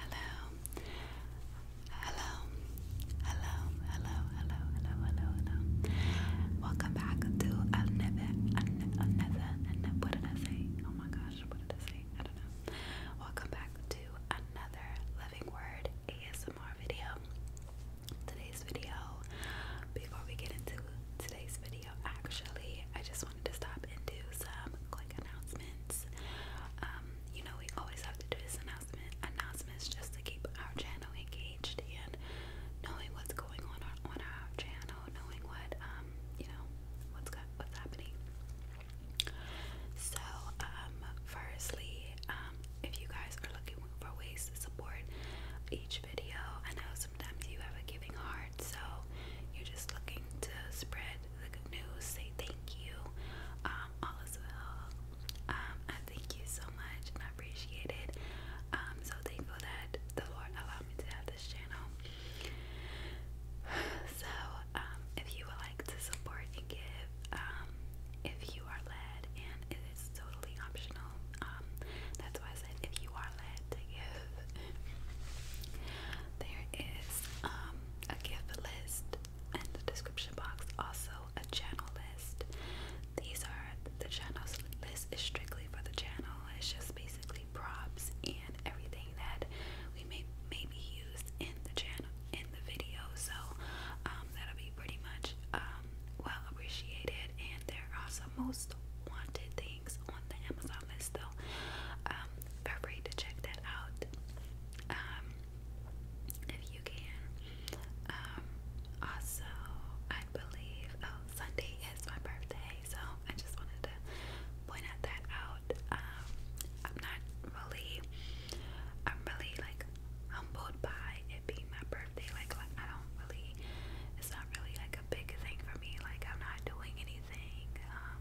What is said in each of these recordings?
Hello. Hello. Hello. Hello. Hello. Hello. Hello. Hello. Welcome back to another, another, another, What did I say? Oh my gosh, what did I say? I don't know. Welcome back to another Living Word ASMR video today's video. Before we get into today's video, actually, I just wanted to stop and do some quick announcements. Um, you know, we always have to do this announcement announcements just to keep our channel engaged and knowing what's going on on our channel, knowing what um, you know, what what's happening. So, um, firstly, if you guys are looking for ways to support each video, I know sometimes you have a giving heart, so you're just looking to spread the good news, say thank you, um, all is well. Um, I thank you so much and I appreciate it. Um, so thankful that the Lord allowed me to have this channel. So, um, if you would like to support and give, if you are led and it is totally optional, so I said if you are led to give, there is um, a gift list in the description box, also a channel list. These are the channels list is strictly for the channel. It's just basically props and everything that we may maybe use in the channel in the video. So um, that'll be pretty much um, well appreciated. And there are also most wanted things on the Amazon list though. Um, feel free to check that out. Um, if you can. Um, also, I believe oh, Sunday is my birthday, so I just wanted to point that out. I'm not really, I'm really like humbled by it my birthday, like, I don't really, it's not really like a big thing for me. Like I'm not doing anything. Um,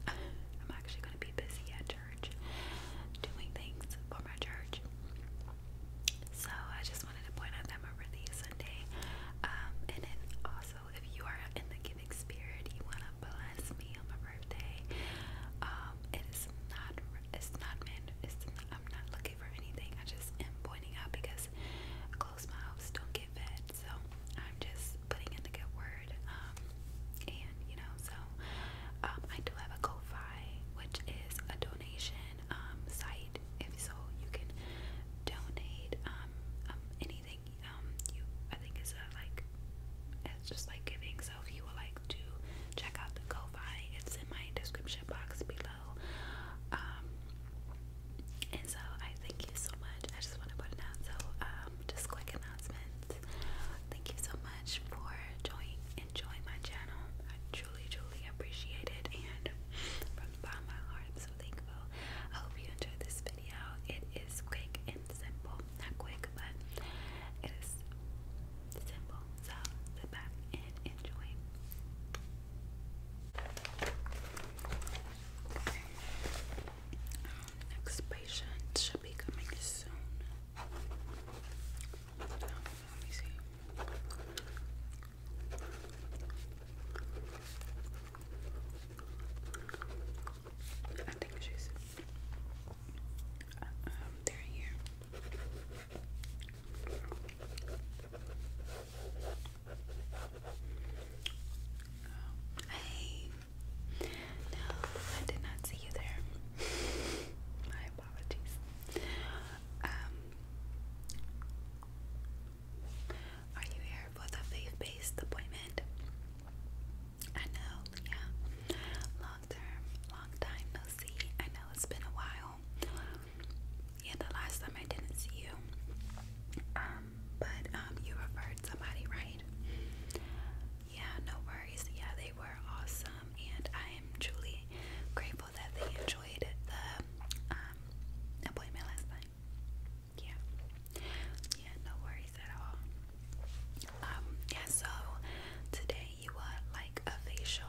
I'm actually gonna be busy at church, doing things for my church. So I just wanted to point out that my birthday is Sunday. Um, and then also, if you are in the giving spirit, you wanna bless me on my birthday. Um, it is not, it's not Man, It's I'm not looking looking for anything. I just am pointing out because closed mouths don't get fed. So I'm just putting in the good word. Um, and you know, so um, I do have a ko which is a donation um, site. If so, you can donate anything. you I think it's a like it's just like giving. So if you would like to check out the ko it's in my description box below um, and so I thank you so much. I just want to put it out. So, um, just quick announcements. Thank you so much for joining, enjoying my channel. I truly, truly appreciate it, and from the bottom of my heart, i so thankful. I hope you enjoyed this video. It is quick and simple. Not quick, but it is simple. So, sit back and enjoy. Next patient should be coming soon. let me see. I think she's. Uh, um, they here. Oh, hey. No, I did not see you there. My apologies. Um, are you here for the faith-based appointment? I know, yeah. Long term, long time no see. I know it's been a while yeah, the last time I didn't see you. Um, but um, you referred somebody, right? Yeah, no worries. Yeah, they were awesome, and I am truly grateful that they enjoyed the um, appointment last night. Yeah, yeah, no worries at all. yeah, so today you would like a facial.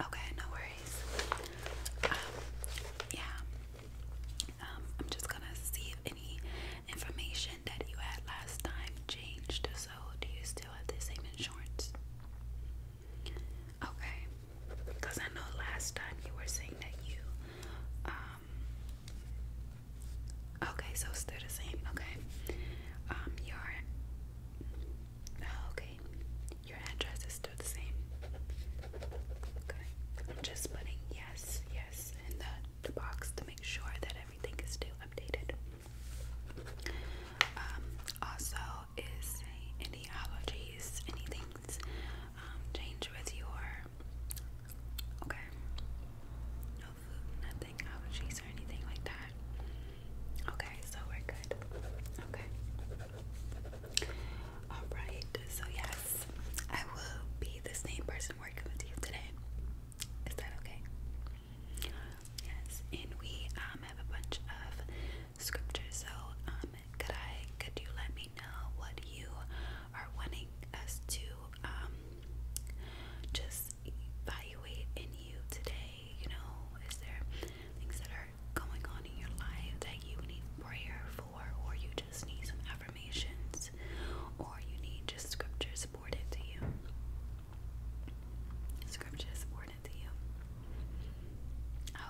Okay, no worries. Um, yeah. Um, I'm just gonna see if any information that you had last time changed. So, do you still have the same insurance? Okay, because I know last time you were saying that you, um, okay, so still the same. Okay, um, your Oh, okay. Your address is still the same. Okay. I'm just putting yes, yes in the, the box to make sure that everything is still updated. Um, also, is any allergies, anything um, change with your, okay, no nothing, allergies or anything like that? Okay, so we're good. Okay. Alright, so yes, I will be the same person working with you today. Is that okay? Yes, and we um have a bunch of scriptures, so um could I could you let me know what you are wanting us to um just evaluate in you today you know, is there things that are going on in your life that you need prayer for, or you just need some affirmations, or you need just scripture supported to you? Scripture supported to you.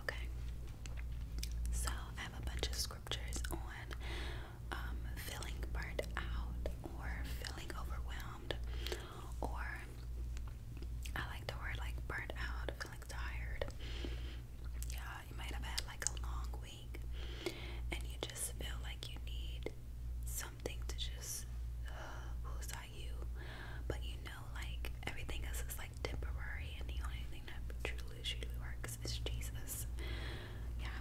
Okay. So I have a bunch of scriptures on um, feeling burnt out or feeling overwhelmed or I like the word like burnt out, feeling tired. Yeah, you might have had like a long week and you just feel like you need something to just uh, you. But you know, like everything else is like temporary and the only thing that truly, truly works is Jesus. Yeah,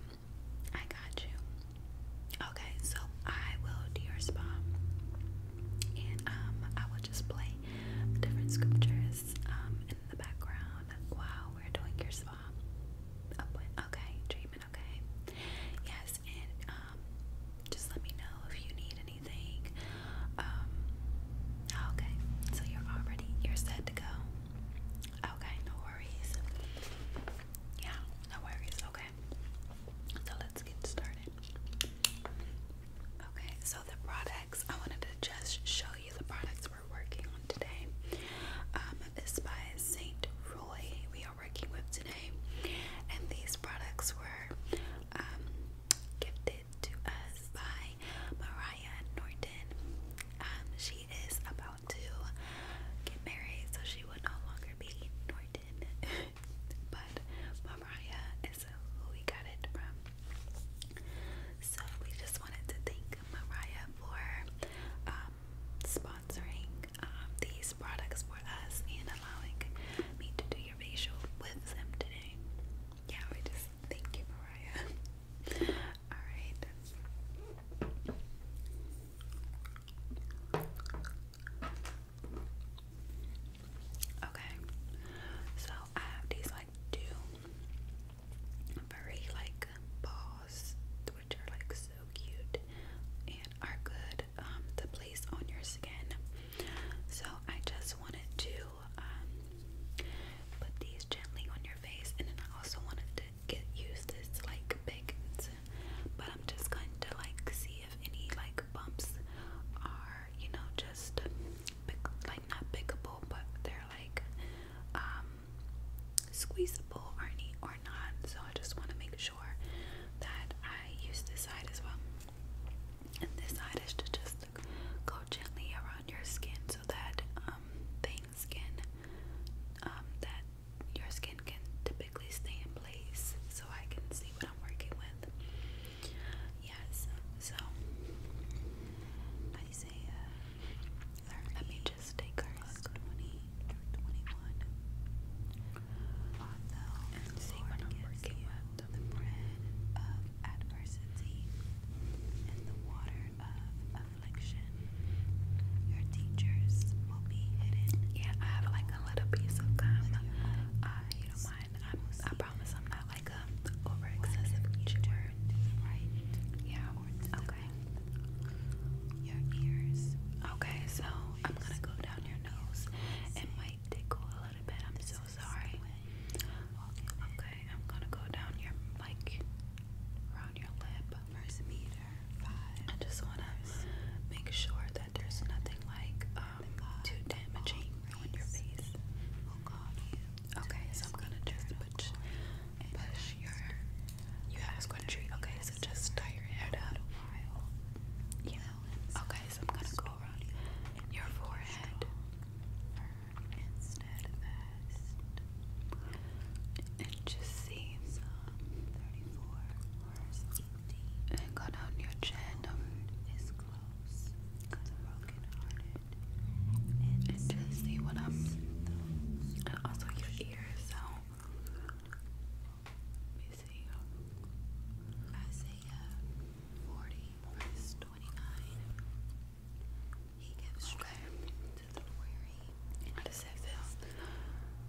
I got you. Okay, so I will do your spa and um, I will just play different scriptures um, in the background while we're doing your spa okay treatment okay yes and um, just let me know if you need anything okay so you're already you're set to go okay no worries yeah no worries okay so let's get started Okay, so the products I wanted to just show you the products we're working on today. Um, by Saint Roy. We are working with today, and these products were um, gifted to us by Mariah Norton. Um, she is about to get married, so she will no longer be Norton. but Mariah is who we got it from. So we just wanted to thank Mariah for um, sponsoring um, these products for us and allowing me to do your facial with them today. Yeah, we just thank you, Mariah. Alright. Okay, so I have these like two very like balls, which are like so cute and are good um, to place on your skin. So I just wanted to um, put these gently on your face, and then I also wanted to get use this like big, but I'm just going to like see if any like bumps are, you know, just like not pickable, but they're like um, or not. So I just want to make sure that I use this side as well. And this side is to just go gently around your skin so that um, things can um, that your skin can typically stay in place so I can see what I'm working with. Yes, so Isaiah, uh, let me just take a look. 20, and the you bread of adversity and the water of affliction, your teachers will be hidden. Yeah, I have like a little piece of gum i promise I'm not like a over excessive each word. Right? Yeah. Okay. Your ears. Okay, so I'm gonna go down your nose. It might tickle a little bit. I'm so sorry. Okay, I'm gonna go down your like around your lip. First meter. Five. I just wanna make sure that there's nothing like um, too damaging on your face. Oh, okay, so I'm gonna push, push your. You have country. Okay, so just tie your head up. Yeah. Okay, so I'm gonna go around your forehead. and just see and go down your chin is close because I'm broken and just see what I'm and also your ears so let me Isaiah uh, 40 verse 29 he gives to the weary and does it feel?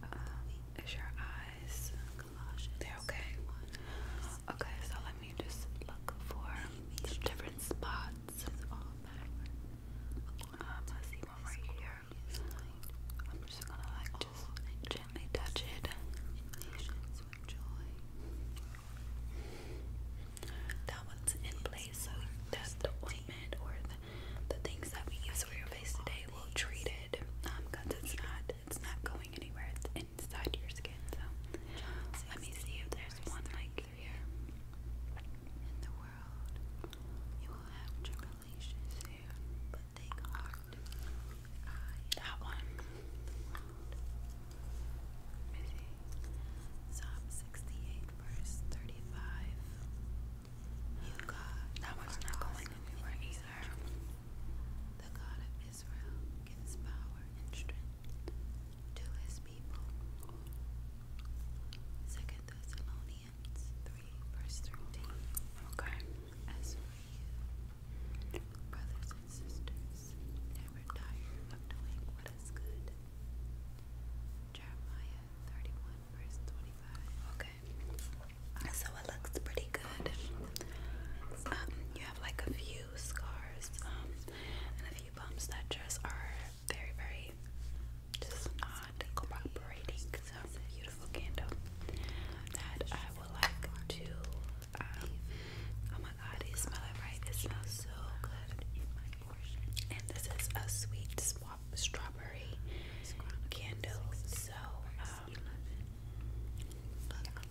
Uh, is your eyes they're okay. Okay, so let me just look for some different spots. Um, I see one right here. I'm just gonna like just gently touch it. That one's in place, so that's the ointment or the, the things that we use for your face today will treat it. Um, cause it's not it's not going anywhere inside your skin. So let me see if there's one like here. In the world, you will have tribulations soon, but take heart. that one. that one's not going anywhere either. The God of Israel gives power and strength to his people. 2 Thessalonians 3, verse 13. Okay. As for you, brothers and sisters, never tire of doing what is good. Jeremiah 31, verse 25. Okay so it looks pretty good. Um, you have like a few scars um, and a few bumps that just are very, very just not cooperating. So beautiful candle that I would like to. Um, oh my god, you smell right? It smells so good. And this is a sweet strawberry candle. So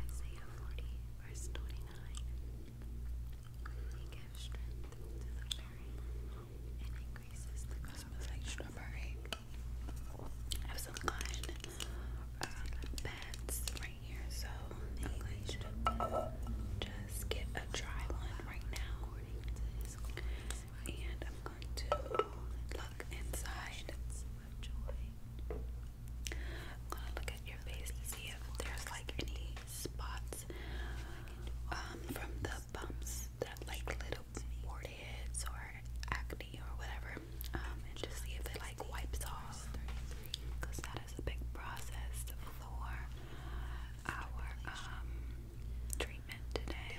Isaiah 40, verse 29. He gives strength to the weary and increases the cost. like strawberry. I have some cotton um, uh, right here, so I'm just get a dry one right now. And I'm going to look inside I'm gonna look at your face to see if there's like any spots um, from the bumps that like little wartheads or acne or whatever. Um, and just see if it like wipes off. Because that is a big process for our um treatment today.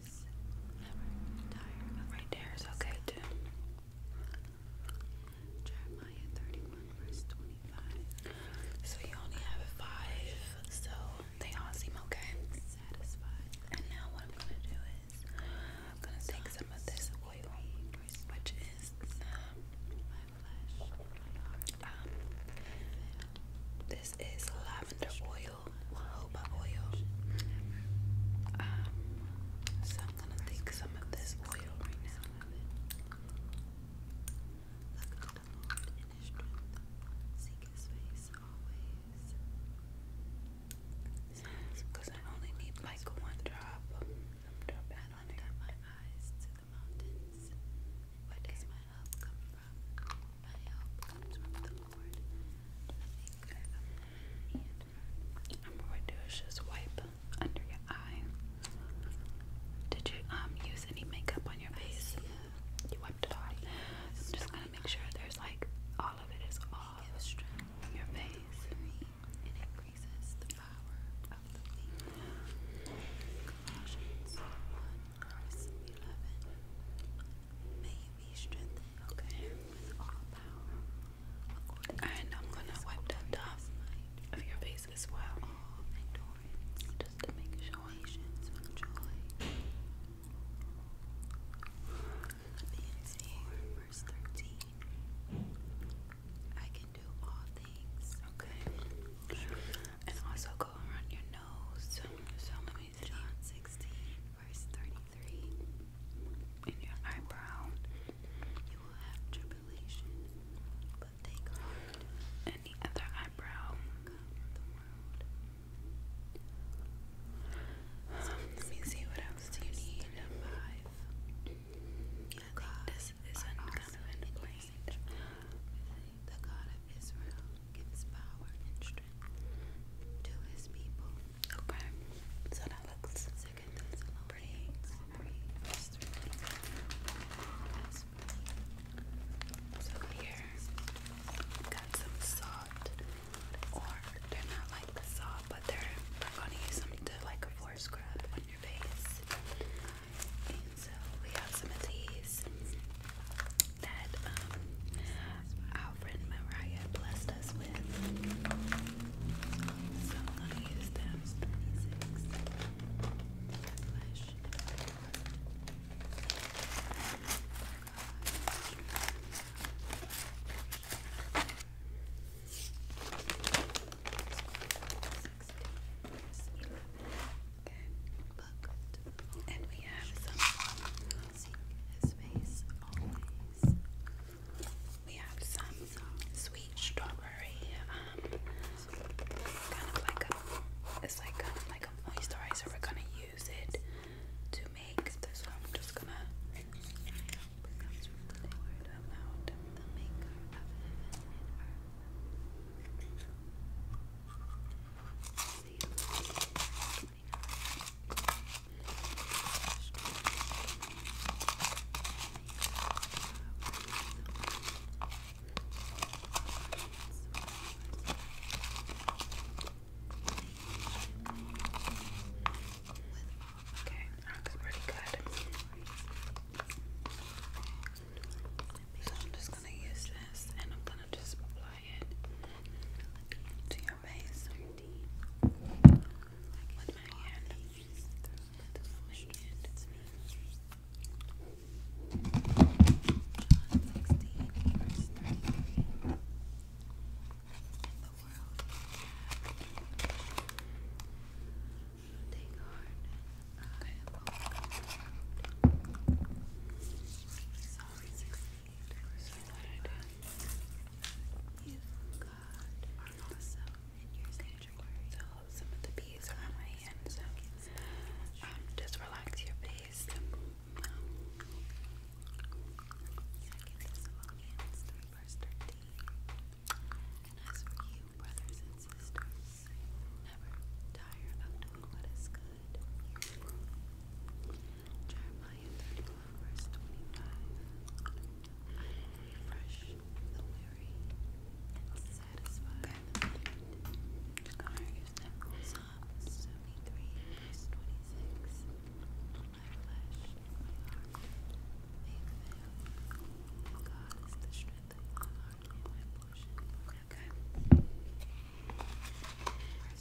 Right there is okay too. So you only have five, so they all seem okay. And now what I'm gonna do is gonna take some of this oil, which is um, um, this is lavender oil jojoba oil. Um, so I'm gonna take some of this oil right now. Because I only need like one One drop I lift up my eyes to the mountains. Where does my help come from? My what do is just wipe under your eye. Did you um use any makeup on your face? You wiped it off. I'm just gonna make sure there's like all of it is off your face. of the wing. Colossians 1, verse May you okay, with all power. And I'm gonna wipe the top of your face as well. All endurance, just to make sure. Patience with joy. Philippians 4, verse 13. I can do all things. Okay. And also go around your nose. So let me John 16, verse 33. In your eyebrow you will have tribulation, but take heart. And other eyebrow. let me see what else do you need. Yeah, this is kind of in The God of Israel gives power and strength to his people. Okay. So that looks second that's a little pretty. So here I've got some salt. Or they're not like the salt, but they're I'm gonna use them to like a floor scrub on your face. And so we have some of these that um, our blessed us with. So I'm gonna use them. Okay. And we have some we have some sweet strawberry, um, it's like kind of like a moisturizer. We're gonna use it to make this. one. I'm just gonna Okay, that looks pretty good. So I'm just gonna use this and I'm gonna just quiet to your face with my hand. With my hand. John 16, verse 33. In the world Take heart. I am overcome. Sorry, 16, You've got also in your sanctuary. some of the bees are on my hand, so just relax your face. And as for you, brothers and sisters, never tire of doing what is good. Jeremiah 31, verse 25. I refresh the weary and satisfy the faint. Psalm 73, verse 26. My flesh, my heart, they fail. the strength of my heart my portion Okay.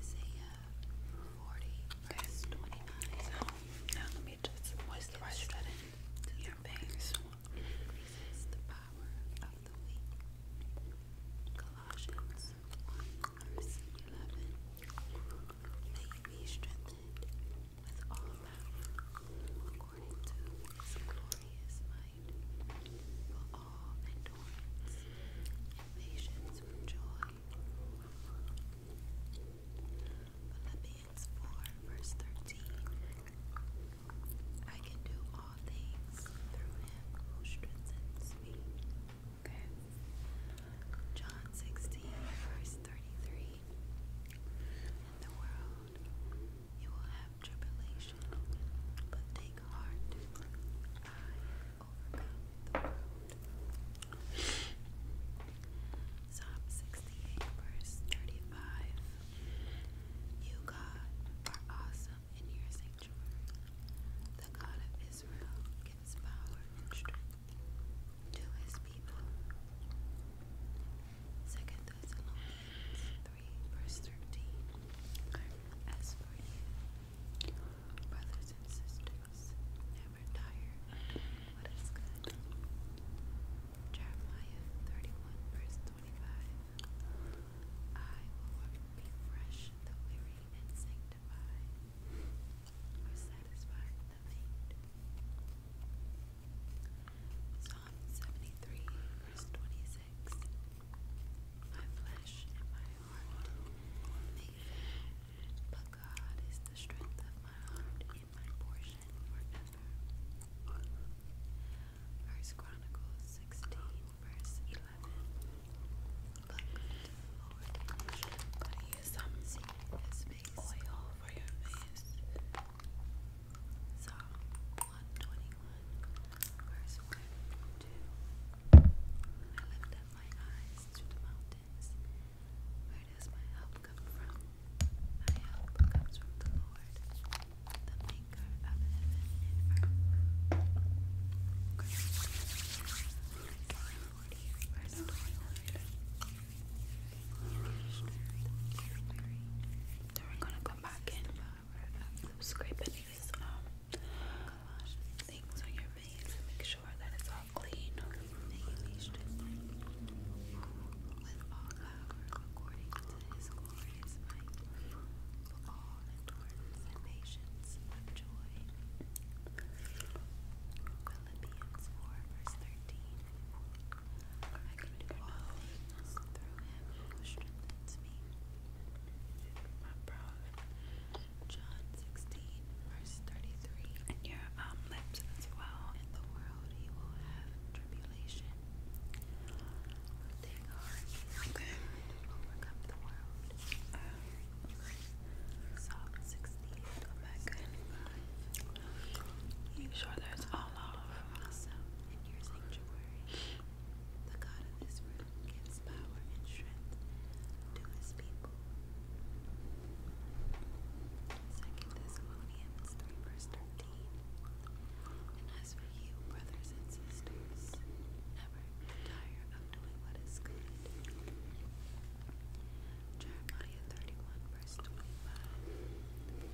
Isaiah 40, verse 29. So, now let me just moisturize that into your face. the power of the weak. Colossians 1, verse 11. That you be strengthened with all power according to his glorious might delight for all endurance and patience with joy. Philippians 4, verse 13. I can do all things through him who strengthens me. Okay. John 16, verse 33. In the world, you will have have but take heart, I overcome the world. Psalm 68, verse 35. You, God, are awesome in your sanctuary. The God of Israel gives power and strength to his people. 2 Thessalonians 3, verse 13. As for you, brothers and sisters, never tire what is good. Jeremiah 31, verse 25. I will refresh the weary and sanctify, or satisfy the faint. Psalm 73, verse 26. My flesh and my heart may fail, but God is the strength of my heart and my portion forever. First Chronicles 16, verse 11. Look Lord, but he is something his oil for your face, Psalm 121, verse 1 2. I lift up my eyes to the mountains. Where does my help come from? My help comes from the Lord, the maker of heaven and earth. Verse 29. We're gonna I'm scraping these um, things on your face and make sure that it's all clean. With all power according to his glorious might, for all endurance and patience with joy. Philippians 4, verse 13. I John 16, verse 33. And your um, lips as well. In the world you will have tribulation. Take heart. Overcome the world. Psalm 16. Go back. Make sure that's all off. Myself in your sanctuary. The God of this room gives power and strength to his people. 2 Thessalonians 3 verse 13 And as for you, brothers and sisters, never tire of doing what is good. Jeremiah 31 verse 25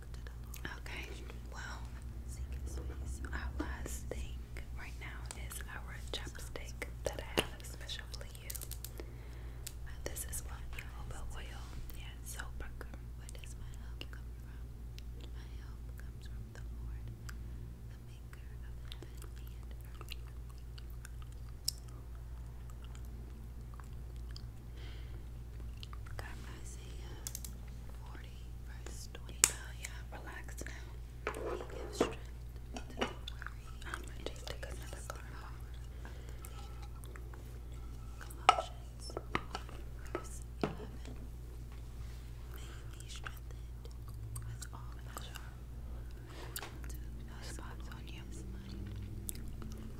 look Okay. Well, Our last thing right now is our chapstick that I have special you. Uh, this is what jojoba oil. Yeah, it's Where does my help come from? My help comes from the Lord, the Maker of heaven and earth. Got Isaiah 40, verse 25. Yeah, relax now. He gives strength I'm going to take another card. Colossians 1, verse 11. May you be strengthened with all measure. To the spots on you.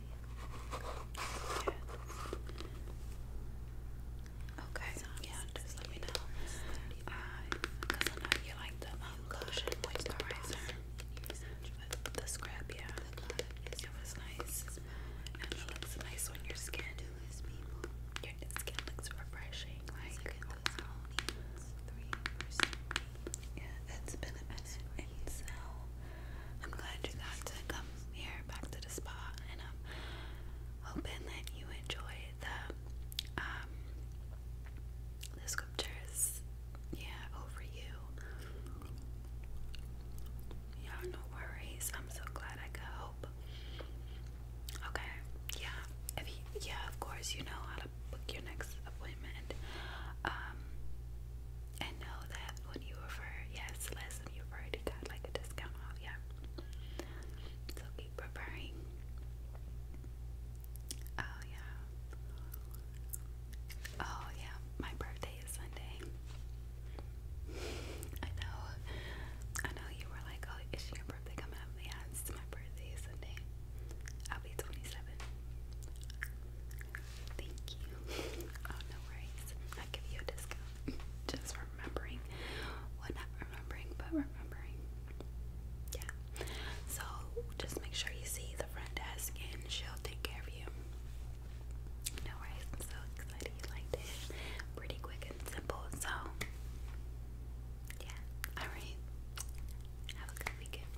Good. Okay. yeah, just let me know. Because uh, I know you like the um, lotion moisturizer. the scrub, yeah. It was nice. it looks nice on your skin. Your skin looks refreshing. Yeah, it's been a minute. so I'm glad you got to come here back to the spa, and I'm hoping that you enjoy the um the sculptures. Yeah, over you. Yeah, no worries. I'm so glad I could help. Okay, yeah. yeah, of course you know how to book your next appointment. Um, and know that when you refer, yes, less than you refer to got like a discount off, yeah. So keep referring. Oh yeah. Oh yeah, my birthday is Sunday. I know. I know you were like, oh, is your birthday coming up? Yeah, my birthday Sunday. I'll be 27. Thank you. Oh, no worries. I give you a discount. Just remembering. not remembering, but remembering. Yeah. So just make sure you see the front desk and she'll take care of you. No worries. so excited you liked it. Pretty quick and simple. So, yeah. Alright. Have a good weekend.